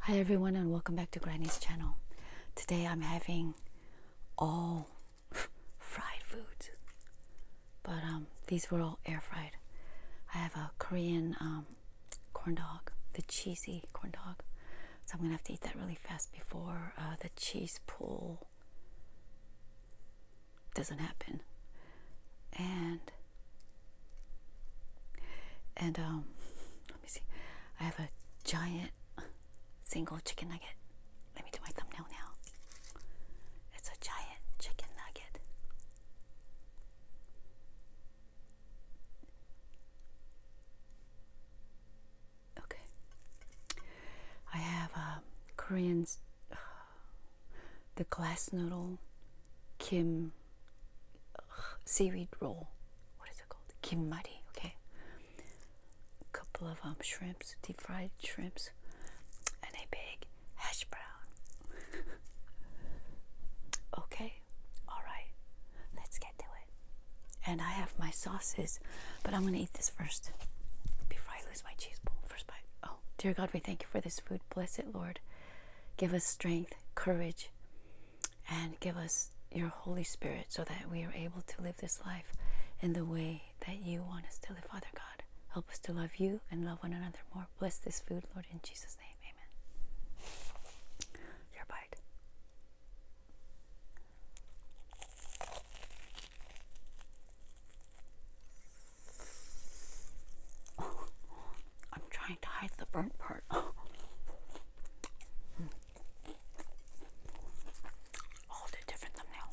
Hi everyone and welcome back to Granny's channel. Today I'm having all fried foods, but um, these were all air fried. I have a Korean um, corn dog, the cheesy corn dog, so I'm gonna have to eat that really fast before uh, the cheese pull doesn't happen. And and um, let me see. I have a giant single chicken nugget. Let me do my thumbnail now. It's a giant chicken nugget. Okay. I have um, Korean's the glass noodle, Kim seaweed roll. What is it called? Kimari. Okay. A couple of um, shrimps, deep fried shrimps, and a big hash brown. okay. All right. Let's get to it. And I have my sauces, but I'm gonna eat this first before I lose my cheese bowl. First bite. Oh, dear God, we thank you for this food. Bless it, Lord. Give us strength, courage, and give us your Holy Spirit so that we are able to live this life in the way that you want us to live, Father God. Help us to love you and love one another more. Bless this food, Lord, in Jesus' name. Amen. Your bite. Oh, I'm trying to hide the burnt part. All the different thumbnail.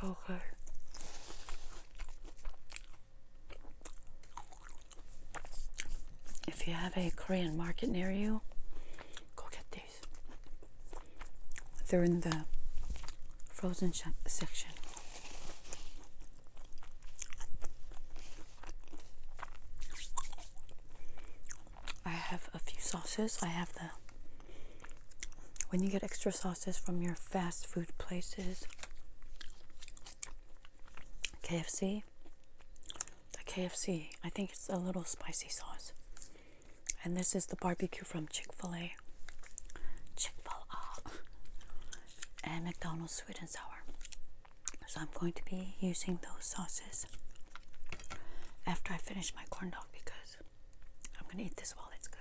So good. If you have a Korean market near you, go get they're in the frozen section. I have a few sauces. I have the when you get extra sauces from your fast food places, KFC, the KFC, I think it's a little spicy sauce. And this is the barbecue from Chick fil A. Chick fil A. And McDonald's sweet and sour. So I'm going to be using those sauces after I finish my corn dog because I'm going to eat this while it's good.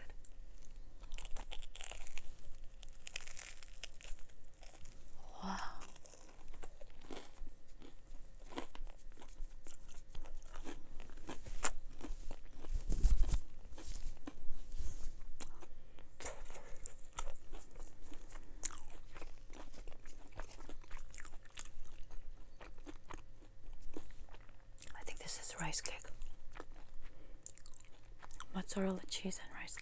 Wow. I think this is rice cake. Mozzarella cheese and rice cake.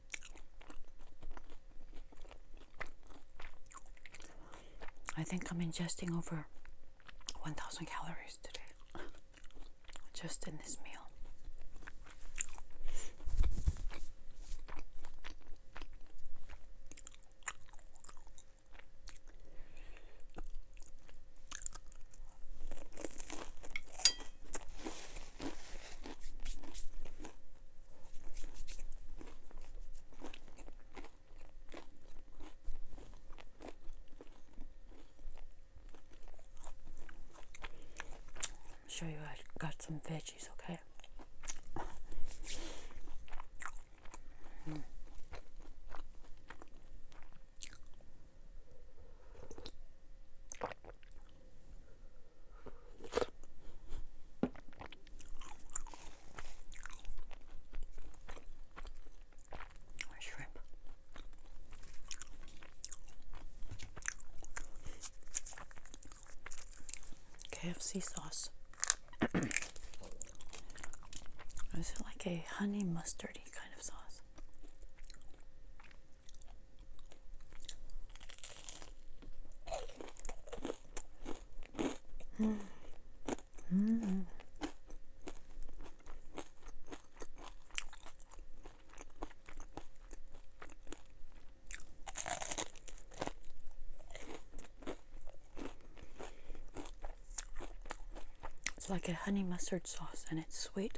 I think I'm ingesting over 1,000 calories today, just in this meal show you I got some veggies, okay? shrimp. KFC sauce. Is it like a honey mustardy kind of sauce? Mm. Mm. It's like a honey mustard sauce and it's sweet.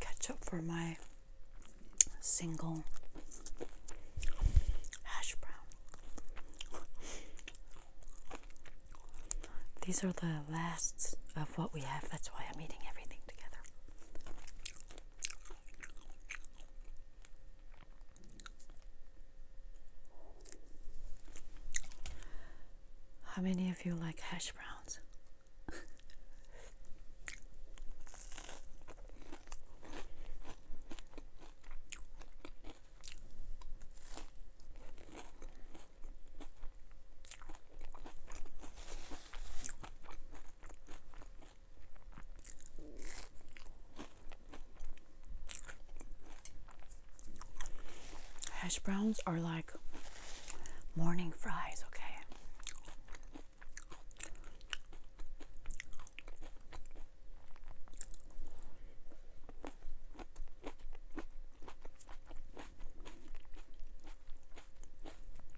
Ketchup for my single hash brown. These are the lasts of what we have, that's why I'm eating everything together. How many of you like hash browns? Hash browns are like morning fries, okay?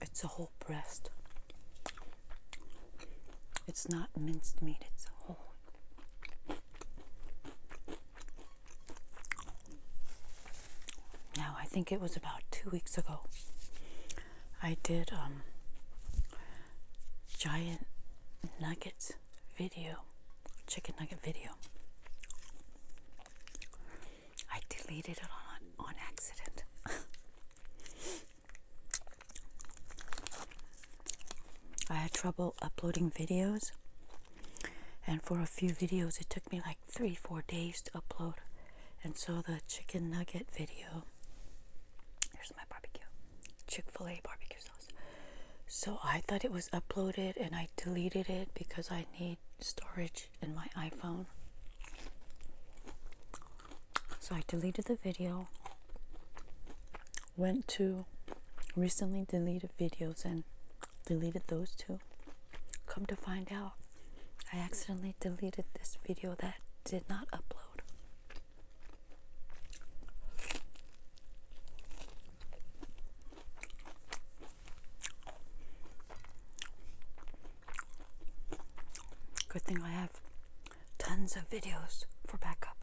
It's a whole breast. It's not minced meat, it's whole. Now, I think it was about two weeks ago, I did um, giant nuggets video, chicken nugget video. I deleted it on on accident. I had trouble uploading videos, and for a few videos, it took me like three, four days to upload. And so the chicken nugget video, here's my barbecue, Chick fil A barbecue sauce. So I thought it was uploaded, and I deleted it because I need storage in my iPhone. So I deleted the video, went to recently deleted videos and deleted those too. Come to find out, I accidentally deleted this video that did not upload. Good thing I have tons of videos for backup.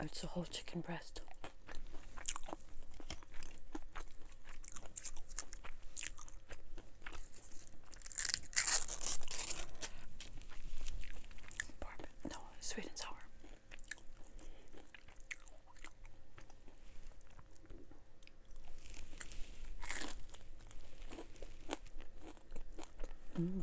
Oh, it's a whole chicken breast. Bourbon. No, sweet and sour. Mm.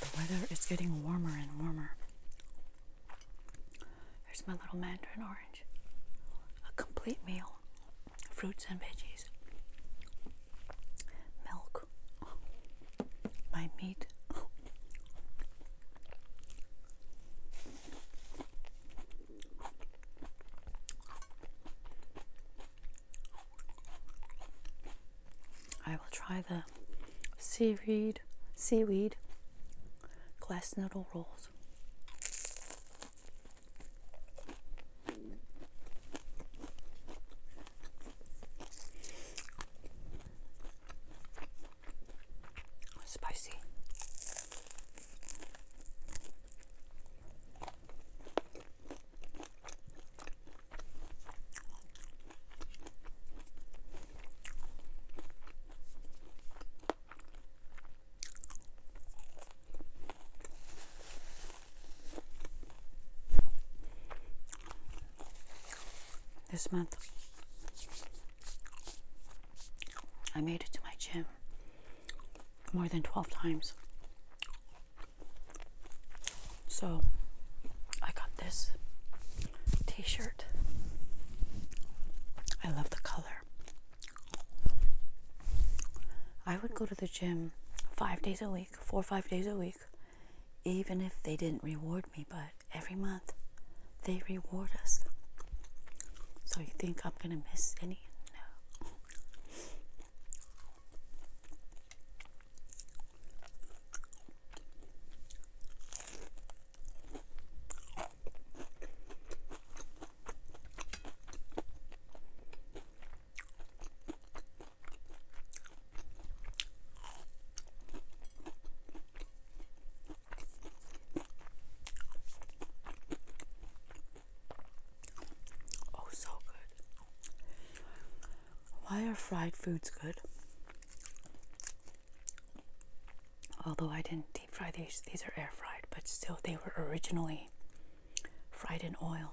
The weather is getting warmer and warmer. Here's my little mandarin orange. A complete meal. Fruits and veggies. Milk. My meat. I will try the seaweed, seaweed glass noodle rolls. Spicy. This month I made it to my gym more than 12 times. So I got this t shirt. I love the color. I would go to the gym five days a week, four or five days a week, even if they didn't reward me but every month they reward us. So you think I'm going to miss any? No. Oh, so good. Why are fried foods good? Although I didn't deep fry these, these are air fried, but still, they were originally fried in oil.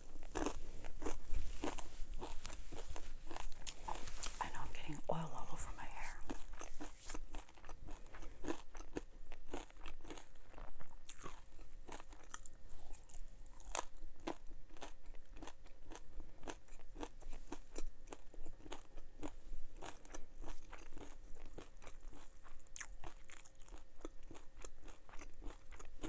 I know I'm getting oil all over my hair.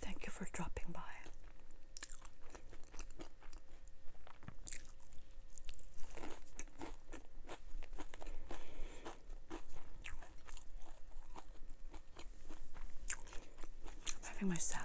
Thank you for dropping by. I'm having my salad.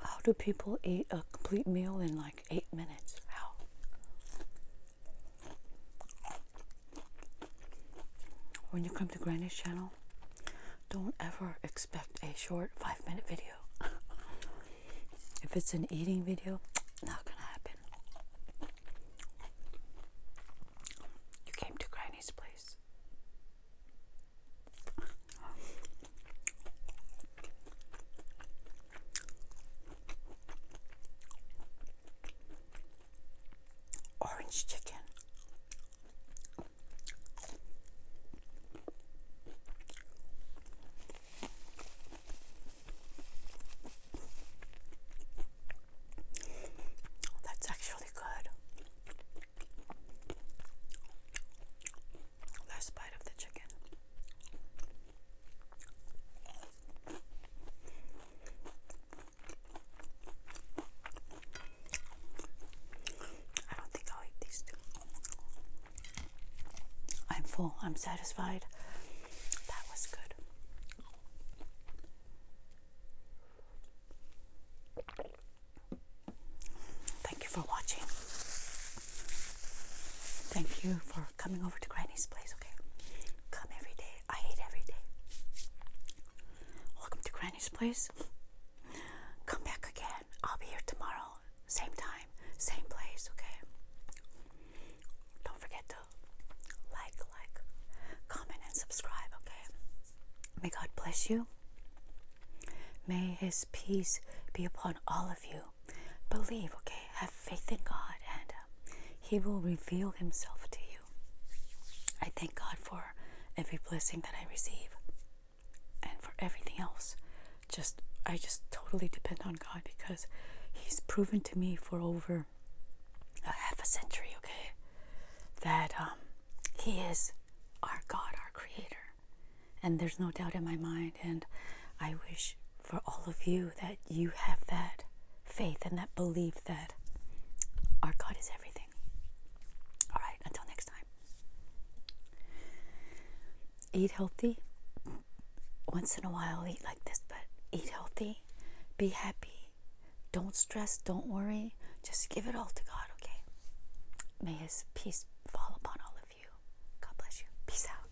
How do people eat a complete meal in like eight minutes? How? When you come to Granny's channel, don't ever expect a short five minute video. if it's an eating video, not gonna happen. You came to Granny's place orange chicken. That's actually good. Last bite of the chicken. I don't think I'll eat these two. I'm full. I'm satisfied. That was good. Thank you for watching. Thank you for coming over to Granny's place, okay? Come every day. I hate every day. Welcome to Granny's place. Come back again. I'll be here tomorrow. Same time, same place, okay? Don't forget to like, like, comment, and subscribe, okay? May God bless you. May His peace be upon all of you. Believe, okay? Have faith in God and he will reveal Himself to you. I thank God for every blessing that I receive and for everything else. Just I just totally depend on God because He's proven to me for over a half a century, okay, that um, He is our God, our Creator, and there's no doubt in my mind. And I wish for all of you that you have that faith and that belief that our God is everything. All right, until next time. Eat healthy. Once in a while, eat like this, but eat healthy. Be happy. Don't stress. Don't worry. Just give it all to God, okay? May His peace fall upon all of you. God bless you. Peace out.